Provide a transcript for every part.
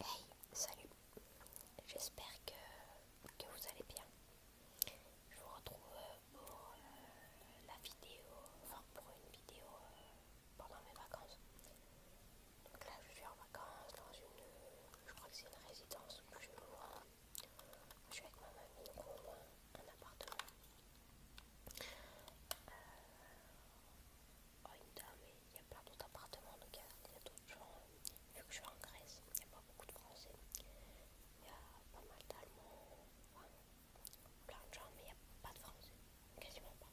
Hey, salut J'espère que, vous allez bien. Je vous retrouve euh, pour euh, la vidéo, enfin pour une vidéo euh, pendant mes vacances. Donc là je suis en vacances dans une, je crois que c'est une résidence où je Je suis avec ma mamie, dans un appartement. Oh, ah, il y a plein d'autres appartements, donc il y a, d'autres gens. Vu que je suis en Grèce, il n'y a pas beaucoup de Français. Il y a pas mal d'Allemands, plein de gens, mais il n'y a pas de Français, quasiment pas.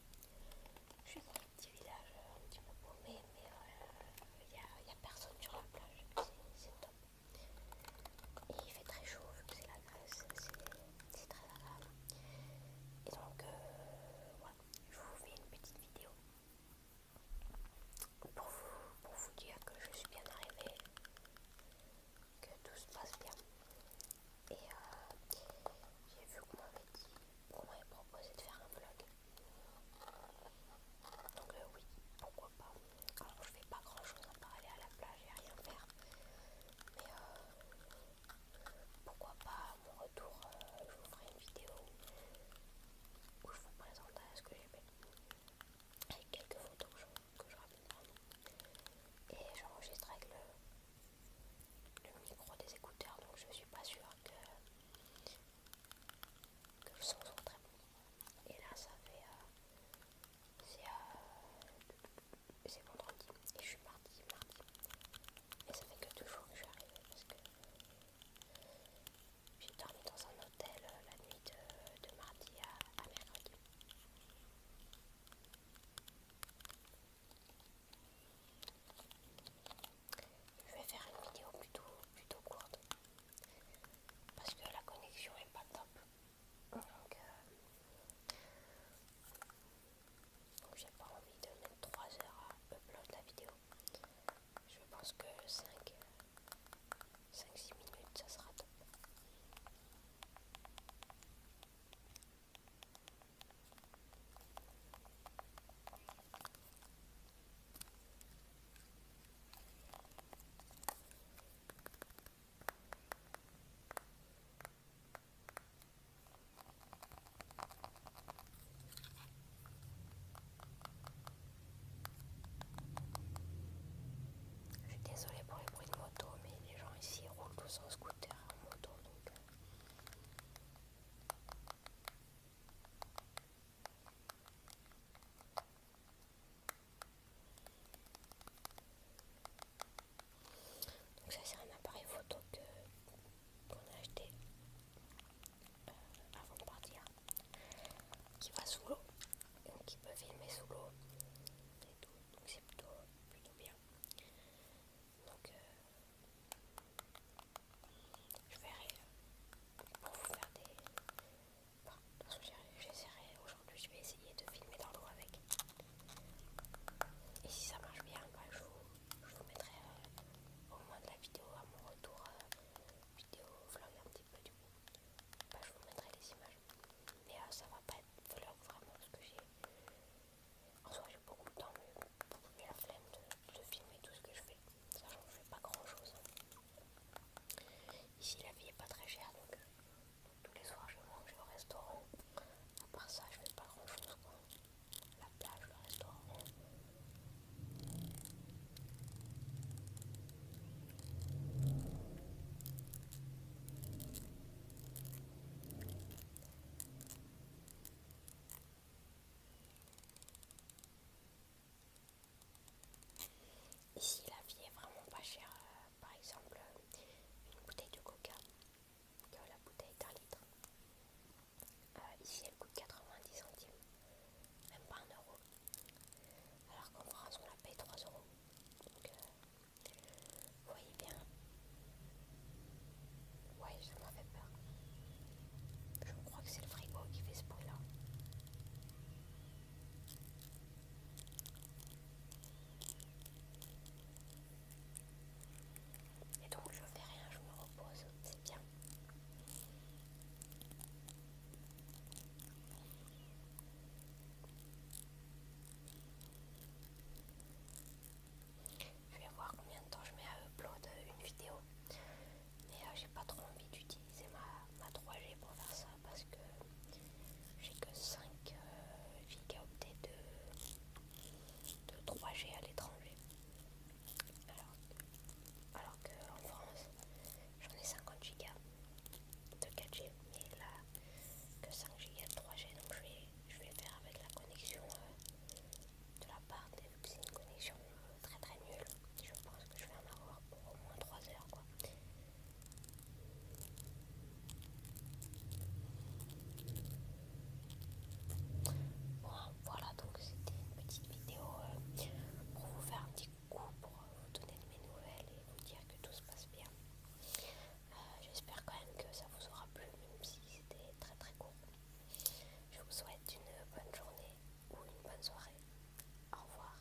Je suis dans un petit village euh, un petit peu paumé, mais euh, il n'y a, a personne sur la plage, c'est top. Et il fait très chaud vu que c'est la Grèce, c'est très agréable. Et donc, euh, voilà, je vous fais une petite vidéo pour vous, pour vous dire que je suis bien arrivée, que tout se passe bien. Et euh, j'ai vu qu'on m'avait dit, m'avait proposé de faire un vlog. Donc euh, oui, pourquoi pas. Alors je fais pas grand chose à part aller à la plage et rien faire. Mais euh, pourquoi pas à mon retour euh, je vous ferai une vidéo où je vous présenterai ce que j'ai fait avec quelques photos que je, que ramène vraiment et j'enregistre avec le, micro des écouteurs donc je suis pas sûre que, le son soit très bon et là ça fait euh, c'est euh, c'est vendredi et je suis mardi, mardi. Et ça fait que deux jours que je suis arrivée parce que j'ai dormi dans un hôtel euh, la nuit de, mardi à, mercredi. Je vais faire une vidéo plutôt, plutôt courte parce que la connexion est pas top. Donc, euh, donc j'ai pas envie de mettre 3 heures à upload la vidéo je pense que 5 5-6 minutes ça sera top je suis désolée pour les bruits de moto, mais les gens ici roulent tous en scooter en moto donc. Euh. Donc ça c'est un appareil photo qu'on a acheté euh, avant de partir, qui va sous l'eau, donc qui peut filmer sous l'eau et tout, donc c'est plutôt, plutôt bien. Donc euh, je verrai euh, pour vous faire des... que j'essaierai aujourd'hui, je vais essayer de filmer dans l'eau avec et si ça marche bien, bah, je, vous, mettrai euh, au moins de la vidéo à mon retour, euh, vidéo vlog un petit peu du coup. Bah, je vous mettrai les images. Mais euh, ça va pas être vlog vraiment parce que j'ai... En j'ai beaucoup de temps, mais de la flemme de, filmer tout ce que je fais. que je fais pas grand chose. Hein. Ici la vie est pas très chère donc tous les soirs, je mange au restaurant. À part ça, je fais pas grand chose. La plage, le restaurant. Ici, la vie est vraiment pas chère. Euh, par exemple une bouteille de coca, la bouteille est litre. Euh, ici elle coûte 90 centimes, même pas 1 euro. Alors qu'en France on la paye 3 euros. Donc euh, vous voyez bien. Ouais, ça m'a fait peur. Je crois que c'est le frigo qui fait ce bruit là. Et donc je fais rien, je me repose, c'est bien. Je vais voir combien de temps je mets à upload une vidéo. Mais euh, j'ai pas trop envie d'utiliser ma, ma 3G pour faire ça parce que j'ai que 5 giga euh, gigaoctets de, 3G à l'étranger. Alors, qu'en France, j'en ai 50 Go de 4G, mais là, que 5 Go de 3G, donc je vais, faire avec la connexion euh, de la part, c'est une connexion euh, très très nulle. Je pense que je vais en avoir pour au moins 3 heures Bon, voilà, donc c'était une petite vidéo euh, pour vous faire un petit coup, pour vous donner mes nouvelles et vous dire que tout se passe bien. Euh, j'espère quand même que ça vous aura plu, même si c'était très très court. Je vous souhaite une bonne journée ou une bonne soirée. Au revoir.